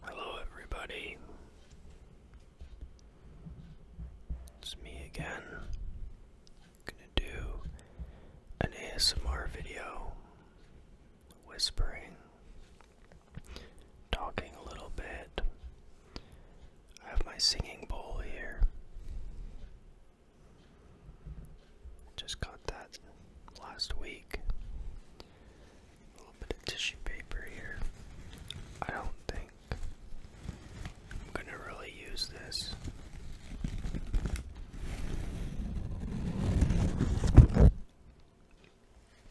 Hello, everybody. It's me again. gonna do an ASMR video, whispering, talking a little bit. I have my singing bowl here. Just got that last week. A little bit of tissue paper here. I don't think I'm gonna really use this.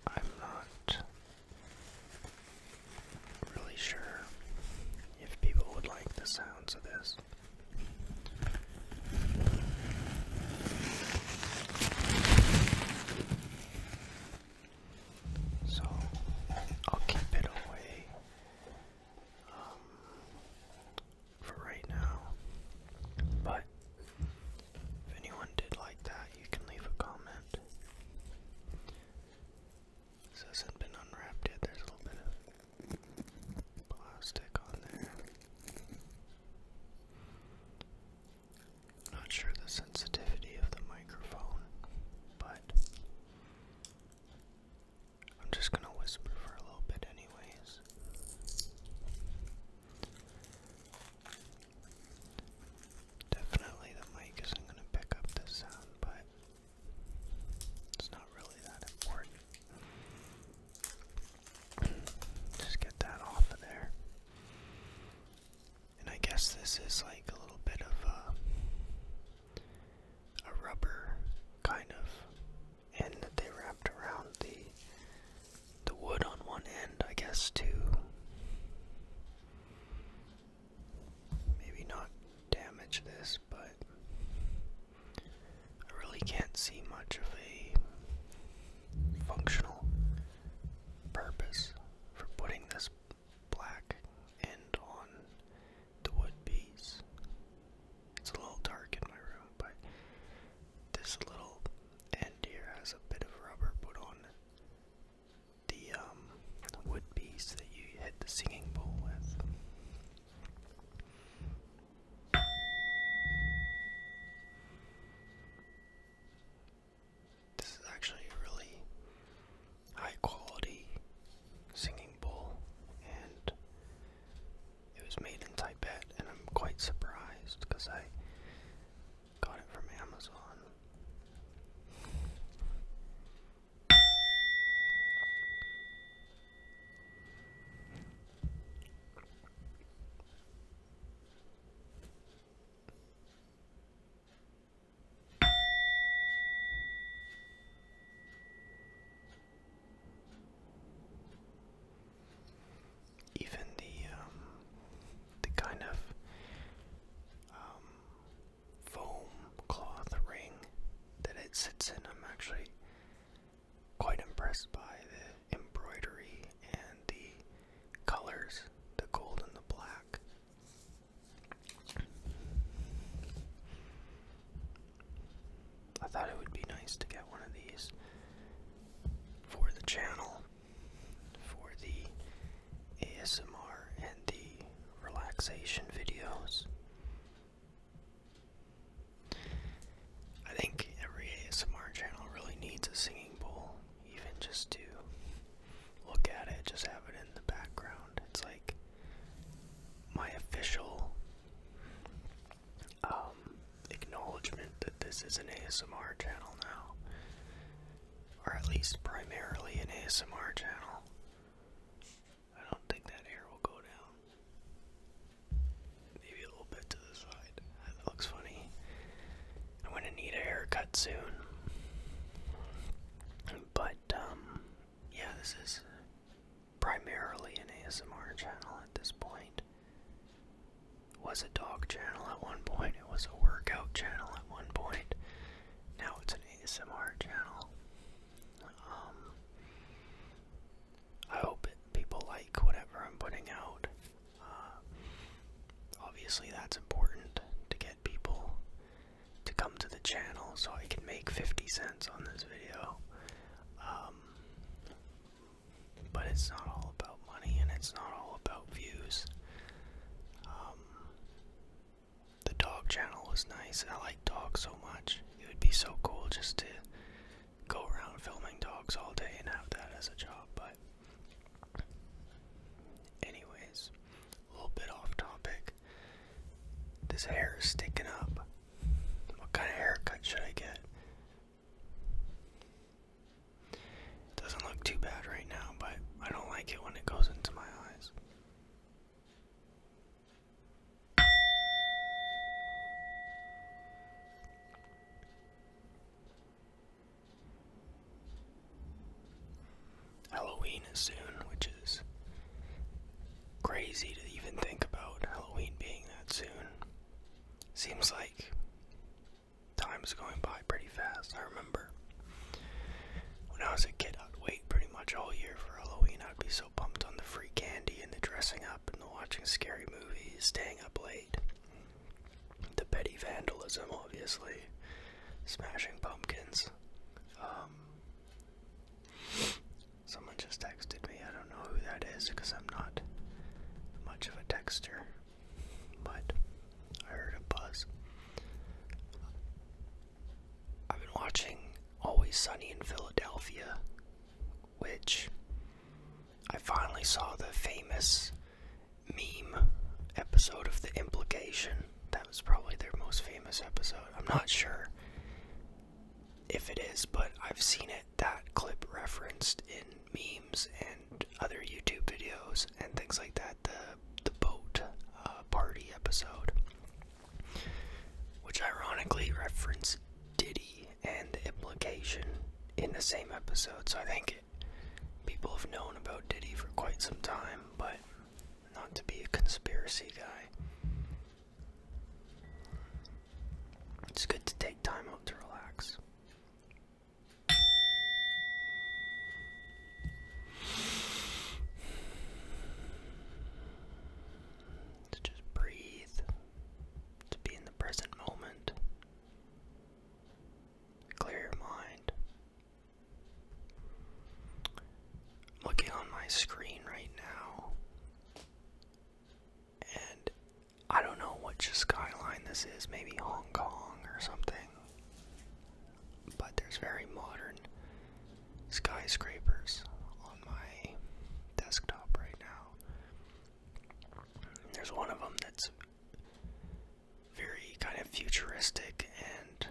I'm not really sure if people would like the sounds of this. So I'll keep it away um, for right now. But if anyone did like that, you can leave a comment. This hasn't been unwrapped yet, there's a little bit of plastic on there. Not sure the sensitivity of the microphone, but I'm just going to whisper for a little bit, anyways. Definitely the mic isn't going to pick up the sound, but it's not really that important. Just get that off of there. And I guess this is like a little bit of a, rubber kind of end that they wrapped around the the wood on one end, I guess, to maybe not damage this, but I really can't see much of a functional purpose for putting this black end on the wood piece. It's a little dark in my room, but this little end here has a bit of rubber put on the um, wood piece that you hit the singing bowl with. This is actually really high quality singing bowl, and it was made in Tibet, and I'm quite surprised because I got it from Amazon. Even the um, the kind of um, foam cloth ring that it sits in, I'm actually quite impressed by the embroidery and the colors, the gold and the black. I thought it would be nice to get one of these for the channel, for the ASMR and the relaxation videos. I think every ASMR channel really needs a singing bowl, even just to look at it, just have it in the background. It's like my official um, acknowledgement that this is an ASMR channel now, or at least primarily an ASMR channel. I don't think that air will go down. Maybe a little bit to the side. That looks funny. I'm gonna need a haircut soon. But um, yeah, this is primarily an ASMR channel at this point. was a dog channel at one point, it was a workout channel at one point. Now it's an ASMR channel. Um, I hope people like whatever I'm putting out. Uh, obviously, that's important to get people to come to the channel so I can make 50 cents on this video. Um, but it's not all about money and it's not all about views. Um, the dog channel was nice. I like dogs so much. It would be so cool just to go around filming dogs all day and have that as a job, but anyways, a little bit off topic. This hair is sticking up. What kind of haircut should I get? It doesn't look too bad right now, but I don't like it when it goes into my eyes. Halloween is soon, which is crazy to even think about Halloween being that soon. Seems like time's going by pretty fast. I remember when I was a kid, I'd wait pretty much all year for Halloween. I'd be so pumped on the free candy and the dressing up and the watching scary movies, staying up The petty vandalism, obviously, smashing pumpkins. Um, someone just texted me. I don't know who that is because I'm not much of a texter, but I heard a buzz. I've been watching Always Sunny in Philadelphia, which I finally saw the famous meme episode of The Implication. That was probably their most famous episode. I'm not sure if it is, but I've seen it that clip referenced in memes and other YouTube videos and things like that. The the boat uh, party episode, which ironically referenced Diddy and implication in the same episode. So I think people have known about Diddy for quite some time, but not to be a conspiracy guy. It's good to take time out to relax. To just breathe to be in the present moment. Clear your mind. Looking on my screen right now, and I don't know which skyline this is, maybe Hong Kong or something, but there's very modern skyscrapers on my desktop right now. There's one of them that's very kind of futuristic and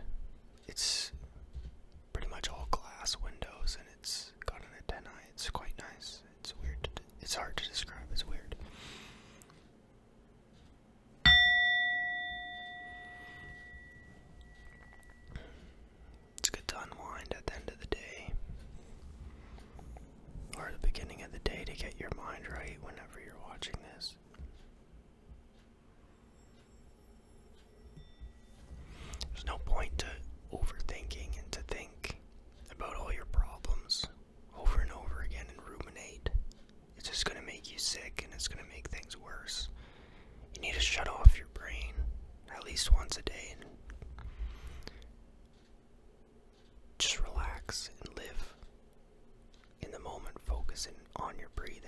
it's pretty much all glass windows and it's got an antenna. It's quite nice. It's weird. it's hard to describe. It's weird. It's good to unwind at the end of the day or the beginning of the day to get your mind right whenever you're watching this. There's no point to overthinking and to think about all your problems over and over again and ruminate. It's just going to make you sick and it's going to make things worse. You need to shut off your brain at least once a day just relax and live in the moment, focusing on your breathing.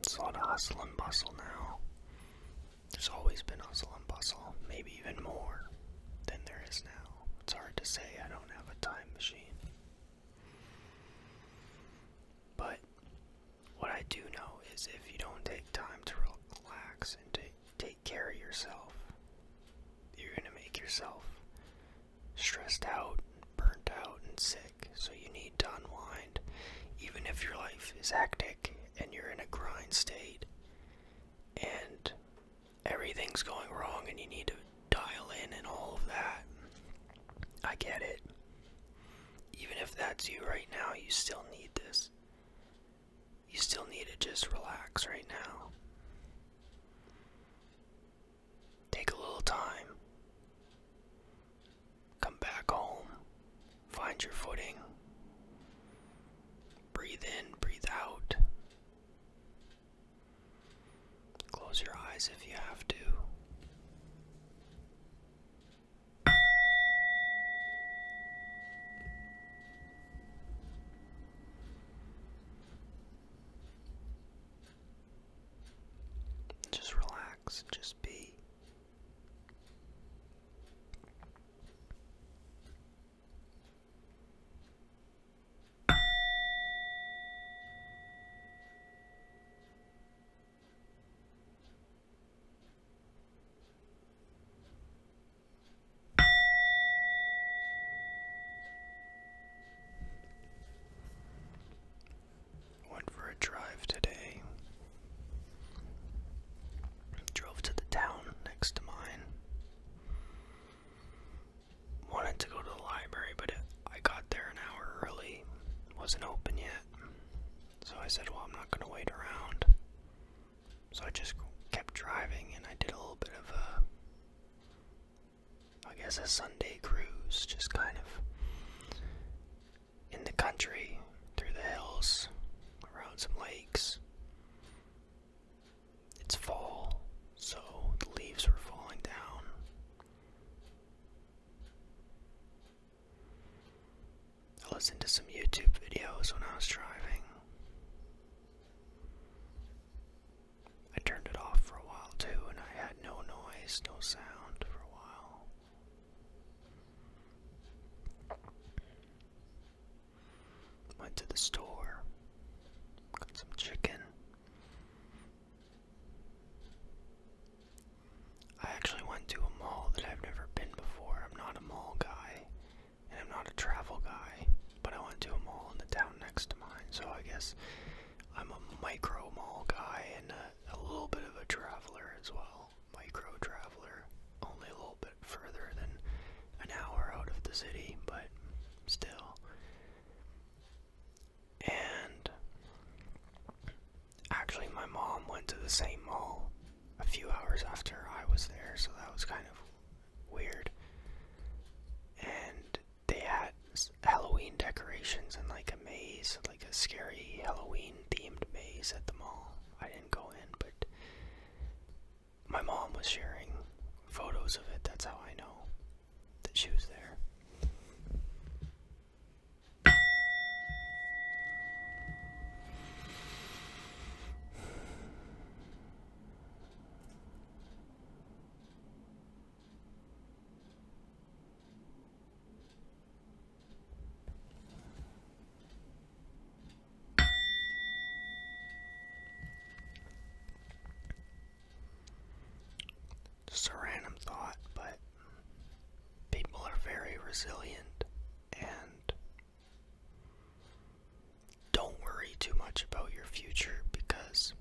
It's a lot of hustle and bustle now. There's always been hustle and bustle, maybe even more than there is now. It's hard to say, I don't don't have a time machine. But what I do know is if you don't take time to relax and to take care of yourself, you're going to make yourself stressed out, burnt out, and sick. So you need to unwind. Even if your life is hectic and you're in a grind state and everything's going wrong and you need to dial in and all of that. I get it. Even if that's you right now, you still need this. You still need to just relax right now. Take a little time. Come back home. Find your footing. Breathe in, breathe out. Close your eyes if you have to. Just relax, just be. Went for a drive today. Drove to the town next to mine wanted to go to the library, but I got there an hour early. Wasn't open yet. So I said, well, I'm not going to wait around. So I just kept driving and I did a little bit of a, I guess, a Sunday cruise, just kind of in the country, through the hills, around some lakes. It's fall, so the leaves are falling down. I listened to some YouTube videos when I was driving. I turned it off for a while too, and I had no noise, no sound for a while. Went to the store, got some chicken. I actually went to a mall that I've never been before. I'm not a mall guy, and I'm not a travel guy, but I went to a mall in the town next to mine, so I guess I'm a micro mall guy and a, a little bit of a traveler as well. Micro traveler, only a little bit further than an hour out of the city, but still. And actually, my mom went to the same mall a few hours after I was there, so that was kind of weird. And they had Halloween decorations and like a maze, like a scary Halloween themed maze at the mall. I didn't go in, but my mom was sharing photos of it. That's how I know that she was there. Just a random thought, but people are very resilient and don't worry too much about your future because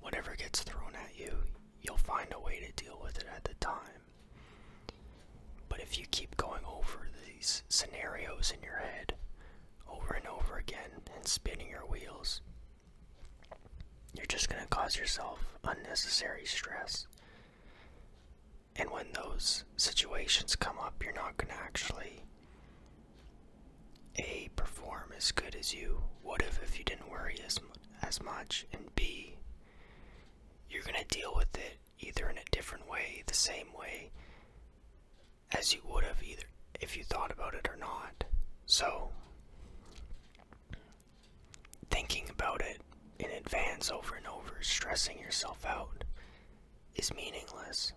whatever gets thrown at you, you'll find a way to deal with it at the time. But if you keep going over these scenarios in your head, over and over again and spinning your wheels, you're just going to cause yourself unnecessary stress. And when those situations come up, you're not going to actually A, perform as good as you would have if you didn't worry as, as much, and B, you're going to deal with it either in a different way, the same way, as you would have either if you thought about it or not. So, thinking about it in advance over and over, stressing yourself out, is meaningless.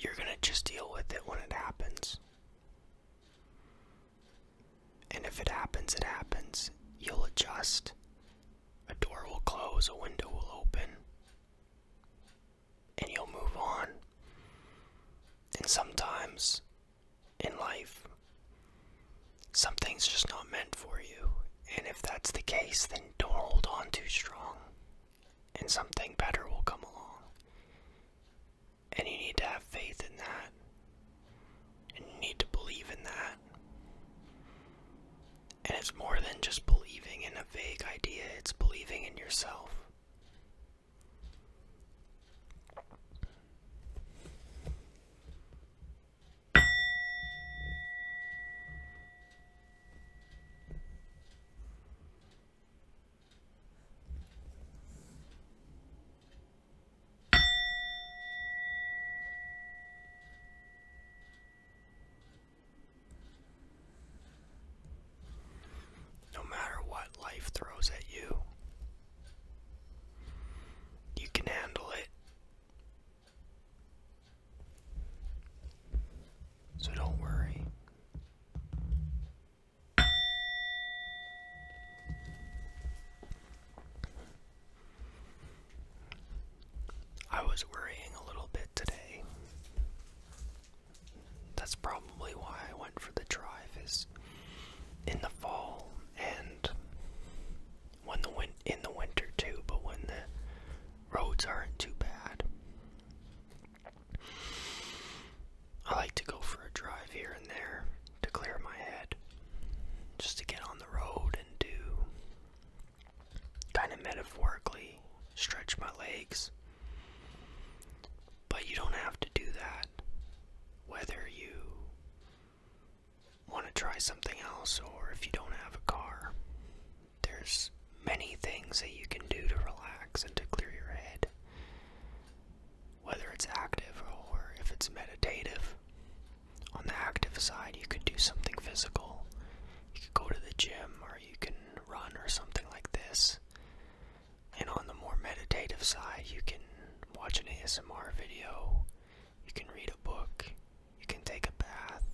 You're going to just deal with it when it happens. And if it happens, it happens. You'll adjust. A door will close, a window will open, and you'll move on. And sometimes in life, something's just not meant for you. And if that's the case, then don't hold on too strong. And something better will come along. And you need to have faith in that. And you need to believe in that. And it's more than just believing in a vague idea, it's believing in yourself. No matter what life throws at you, you can handle it. So don't worry. I was worrying a little bit today. That's probably why I went for the drive is in the fall and when the win in the winter too, but when the roads aren't too bad. I like to go for a drive here and there to clear my head. Just to get on the road and do kind of metaphorically stretch my legs. But you don't have to do that. Whether you want to try something else or if you don't have a car, there's many things that you can do to relax and to clear your head. Whether it's active or if it's meditative. On the active side, you could do something physical you could go to the gym or you can run or something like this. And on the more meditative side, you can watch an ASMR video, you can read a book, you can take a bath,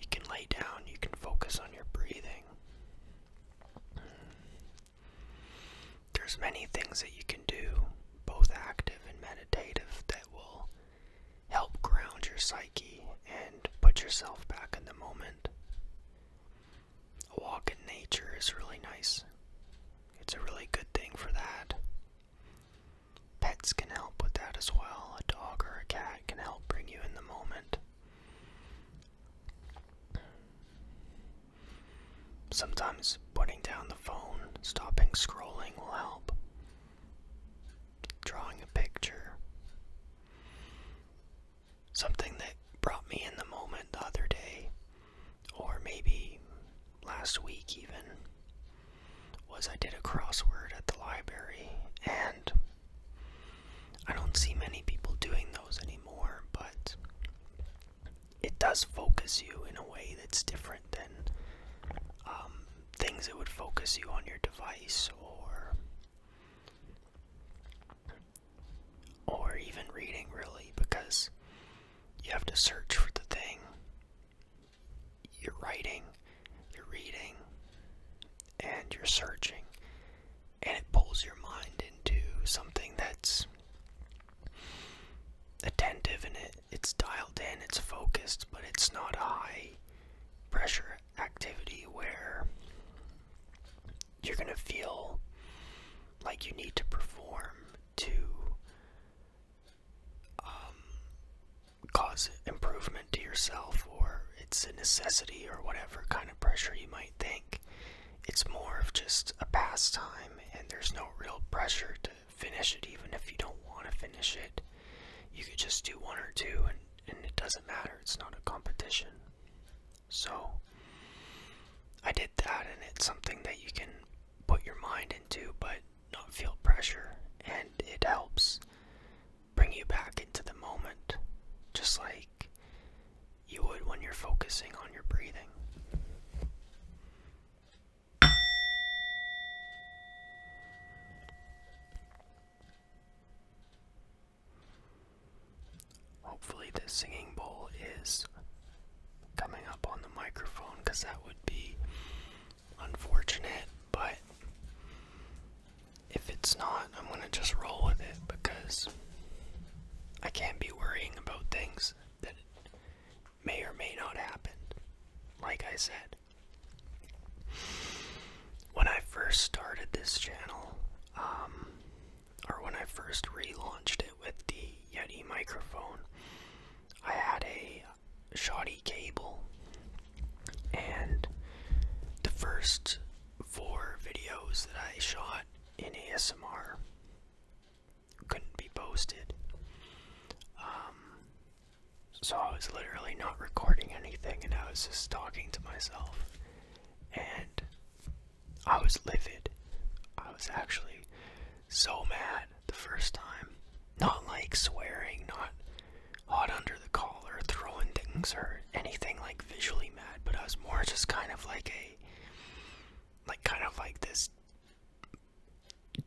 you can lay down, you can focus on your breathing. There's many things that you can do, both active and meditative, that will help ground your psyche and put yourself back in the moment. A walk in nature is really nice. It's a really good thing for that. Pets can help with that as well. A dog or a cat can help bring you in the moment. Sometimes putting down the phone, stopping scrolling will help drawing a picture. Something that brought me in the moment the other day, or maybe last week even, was I did a crossword at the library, and I don't see many people doing those anymore, but it does focus you in a way that's different than um, things that would focus you on your device or or even reading really because you have to search for the thing you're writing you're reading and you're searching and it pulls your mind into something that's attentive and it, it's dialed in it's focused but it's not high pressure activity where you're going to feel like you need to perform to um, cause improvement to yourself, or it's a necessity, or whatever kind of pressure you might think. It's more of just a pastime, and there's no real pressure to finish it even if you don't want to finish it. You could just do one or two and, and it doesn't matter. It's not a competition. So I did that and it's something that you can put your mind into but not feel pressure and it helps bring you back into the moment just like you would when you're focusing on your breathing. Hopefully, the singing bowl is coming up on the microphone because that would be unfortunate. But if it's not, I'm going to just roll with it because I can't be worrying about things that may or may not happen. Like I said, when I first started this channel, um, or when I first relaunched it with the Yeti microphone, I had a shoddy cable, and the first four videos that I shot in ASMR couldn't be posted. Um, so I was literally not recording anything and I was just talking to myself. And I was livid. I was actually so mad the first time. Not like swearing, not hot under the collar, throwing things or anything like visually mad, but I was more just kind of like a like kind of like this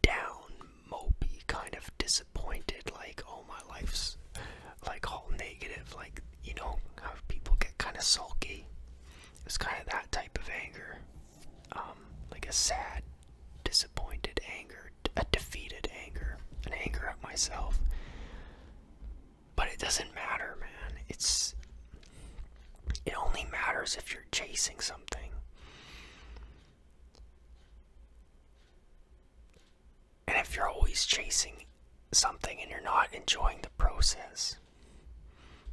down, mopey, kind of disappointed, like, all oh, my life's like all negative, like, you know, how people get kind of sulky. It's kind of that type of anger, um, like a sad, disappointed anger, a defeated anger, an anger at myself. But it doesn't matter, man. It's it only matters if you're chasing something. And if you're always chasing something and you're not enjoying the process,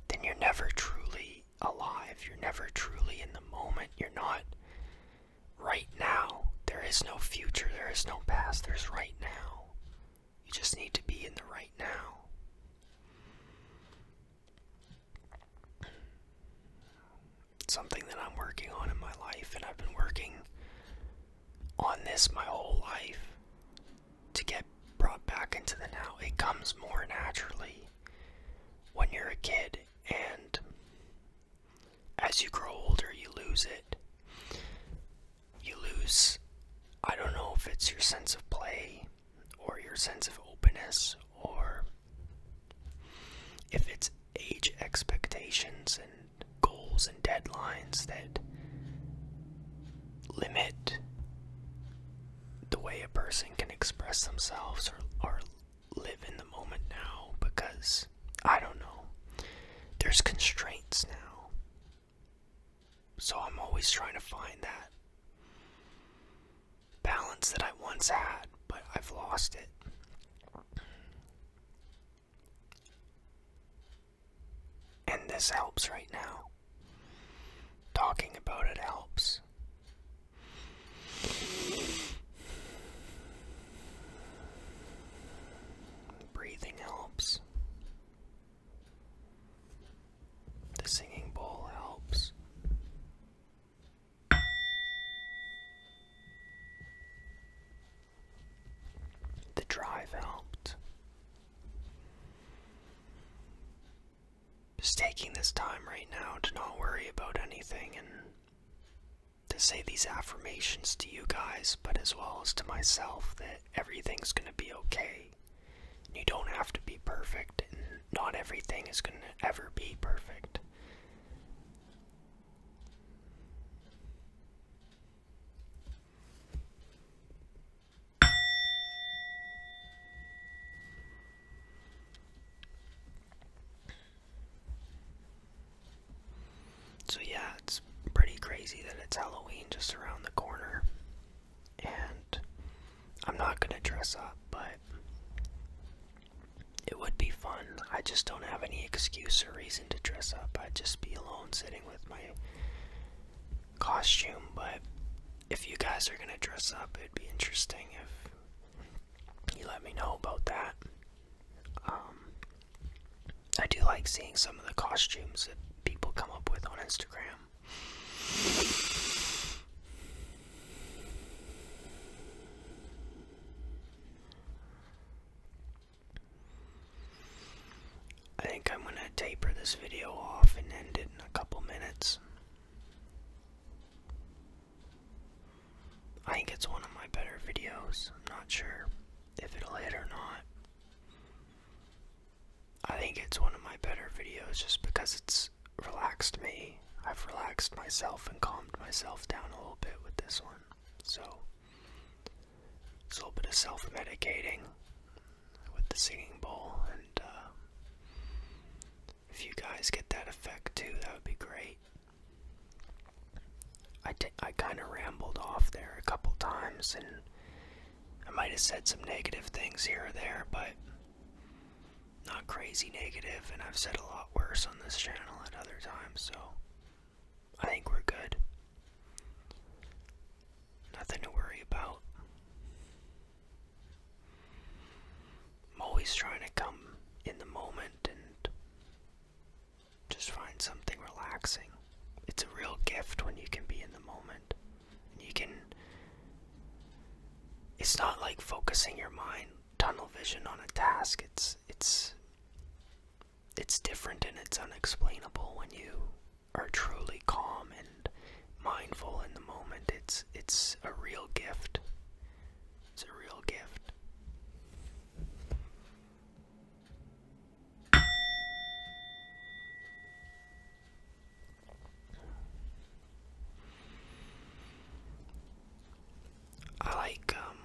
then you're never truly alive. You're never truly in the moment. You're not right now. There is no future. There is no past. There's right now. You just need to be in the right now something that I'm working on in my life, and I've been working on this my whole life to get brought back into the now. It comes more naturally when you're a kid, and as you grow older, you lose it. You lose, I don't know if it's your sense of play or your sense of openness or if it's age expectations and goals and deadlines that limit the way a person can express themselves or, or live in the moment now because I don't know. There's constraints now. So I'm always trying to find that balance that I once had, but I've lost it. And this helps right now. Talking about it helps. Breathing helps. The singing bowl helps. The drive helped. Just taking this time right now to not worry about anything and to say these affirmations to you guys, but as well as to myself, that everything's going to be okay. You don't have to be perfect, and not everything is going to ever be perfect. So, yeah, it's pretty crazy that it's Halloween just around the corner. And I'm not going to dress up, but it would be fun. I just don't have any excuse or reason to dress up. I'd just be alone sitting with my costume. But if you guys are gonna dress up, it'd be interesting if you let me know about that. Um, I do like seeing some of the costumes that people come up with on Instagram. I think I'm going to taper this video off and end it in a couple minutes. I think it's one of my better videos. I'm not sure if it'll hit or not. I think it's one of my better videos just because it's relaxed me. I've relaxed myself and calmed myself down a little bit with this one. So, it's a little bit of self medicating with the singing bowl. And uh, if you guys get that effect too, that would be great. I, I kind of rambled off there a couple times and I might have said some negative things here or there, but not crazy negative, and I've said a lot worse on this channel at other times, so I think we're good. Nothing to worry about. I'm always trying to come in the moment and just find something relaxing. It's a real gift when you can be in the moment. And you can it's not like focusing your mind tunnel vision on a task it's it's it's different and it's unexplainable when you are truly calm and mindful in the moment it's it's a real gift it's a real gift I like um,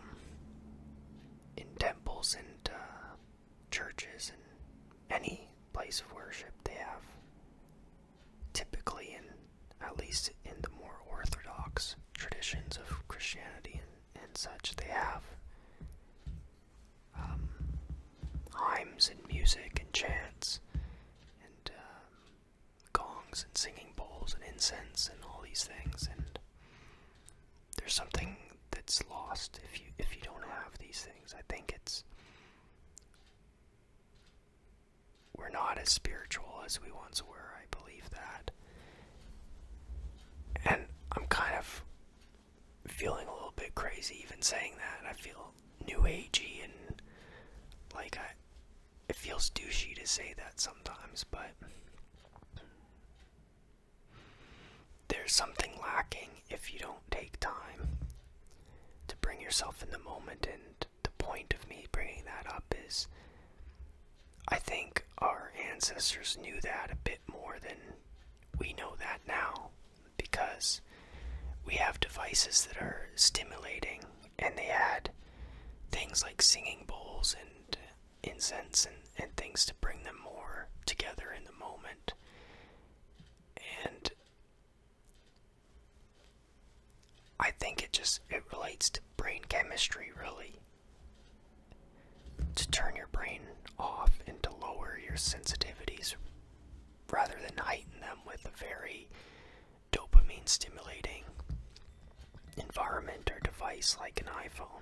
in temples and uh, churches and any place of worship they have typically in at least in the more orthodox traditions of Christianity and, such they have um, hymns and music and chants and um, gongs and singing bowls and incense and all these things and there's something that's lost if you if you don't have these things. I think it's we're not as spiritual as we once were. I believe that. And I'm kind of feeling a little bit crazy even saying that. I feel new agey and like I it feels douchey to say that sometimes, but there's something lacking if you don't take time to bring yourself in the moment and the point of me bringing that up is I think our ancestors knew that a bit more than we know that now because we have devices that are stimulating and they had things like singing bowls and incense and, and things to bring them more together in the moment. And I think it just it relates to brain chemistry really. To turn your brain off and to lower your sensitivities rather than heighten them with a very dopamine stimulating environment or device like an iPhone.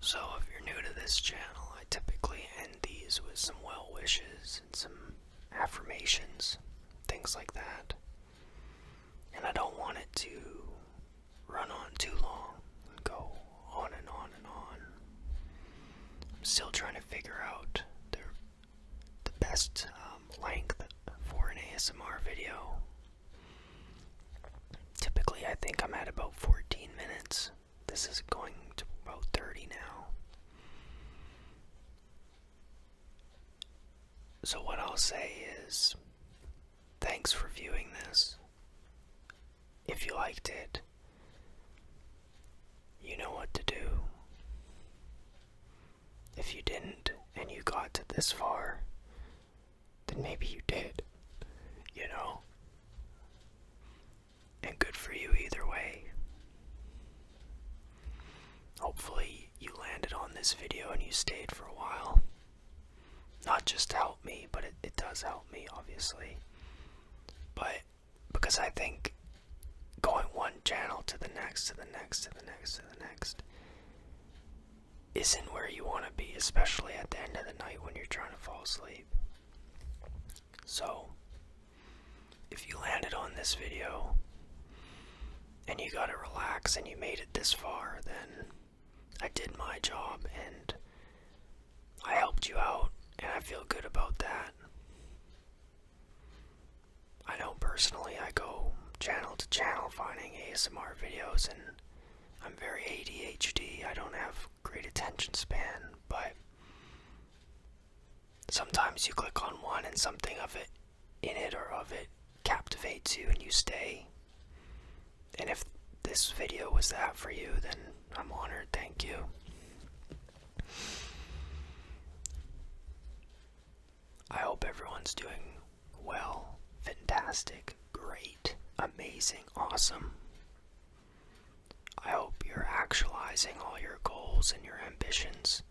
So, if you're new to this channel, I typically end these with some well wishes and some affirmations, things like that. And I don't want it to run on too long go on and on and on. I'm still trying to figure out the, best um, length for an ASMR video. Typically, I think I'm at about 14 minutes. This is going to about 30 now. So, what I'll say is thanks for viewing this. If you liked it, you know what to do. If you didn't and you got to this far, then maybe you did. You know? And good for you either way. Hopefully, you landed on this video and you stayed for a while. Not just to help me, but it, it does help me, obviously. But because I think going one channel to the next, to the next, to the next, to the next isn't where you want to be, especially at the end of the night when you're trying to fall asleep. So, if you landed on this video and you got to relax and you made it this far, then I did my job and I helped you out, and I feel good about that. I know personally I go channel to channel finding ASMR videos and I'm very ADHD. I don't have great attention span, but sometimes you click on one and something of it in it or of it captivates you and you stay. And if this video was that for you, then I'm honored. Thank you. I hope everyone's doing well, fantastic, great, amazing, awesome. I hope you're actualizing all your goals and your ambitions.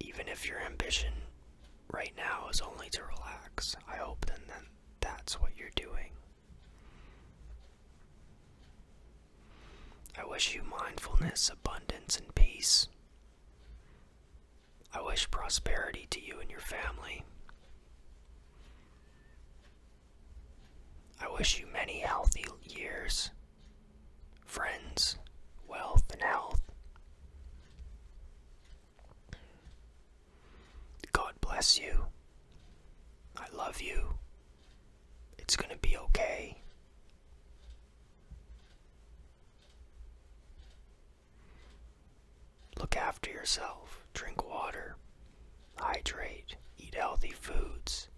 Even if your ambition right now is only to relax, I hope that that's what you're doing. I wish you mindfulness, abundance, and peace. I wish prosperity to you and your family. I wish you many healthy years, friends, wealth, and health. God bless you. I love you. It's going to be okay. Look after yourself, drink water, hydrate, eat healthy foods.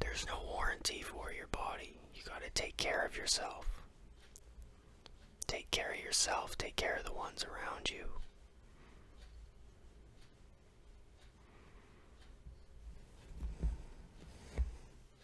There's no warranty for your body. You got to take care of yourself. Take care of yourself, take care of the ones around you.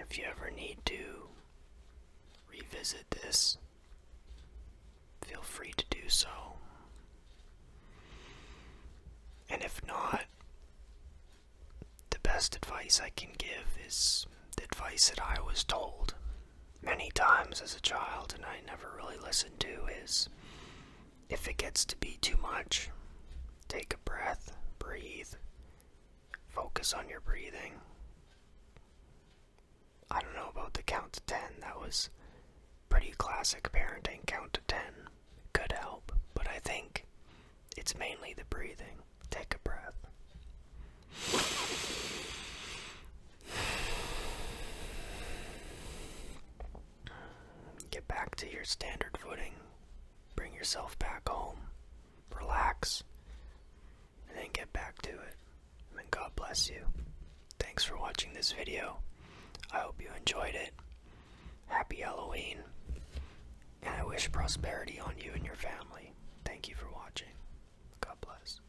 If you ever need to revisit this, feel free to do so. And if not, the best advice I can give is the advice that I was told many times as a child and I never really listened to is if it gets to be too much, take a breath, breathe, focus on your breathing. I don't know about the count to 10, that was pretty classic parenting count to 10. Good help, but I think it's mainly the breathing. Take a breath. Get back to your standard footing. Bring yourself back home. Relax. And then get back to it. And God bless you. Thanks for watching this video. I hope you enjoyed it. Happy Halloween. And I wish prosperity on you and your family. Thank you for watching. God bless.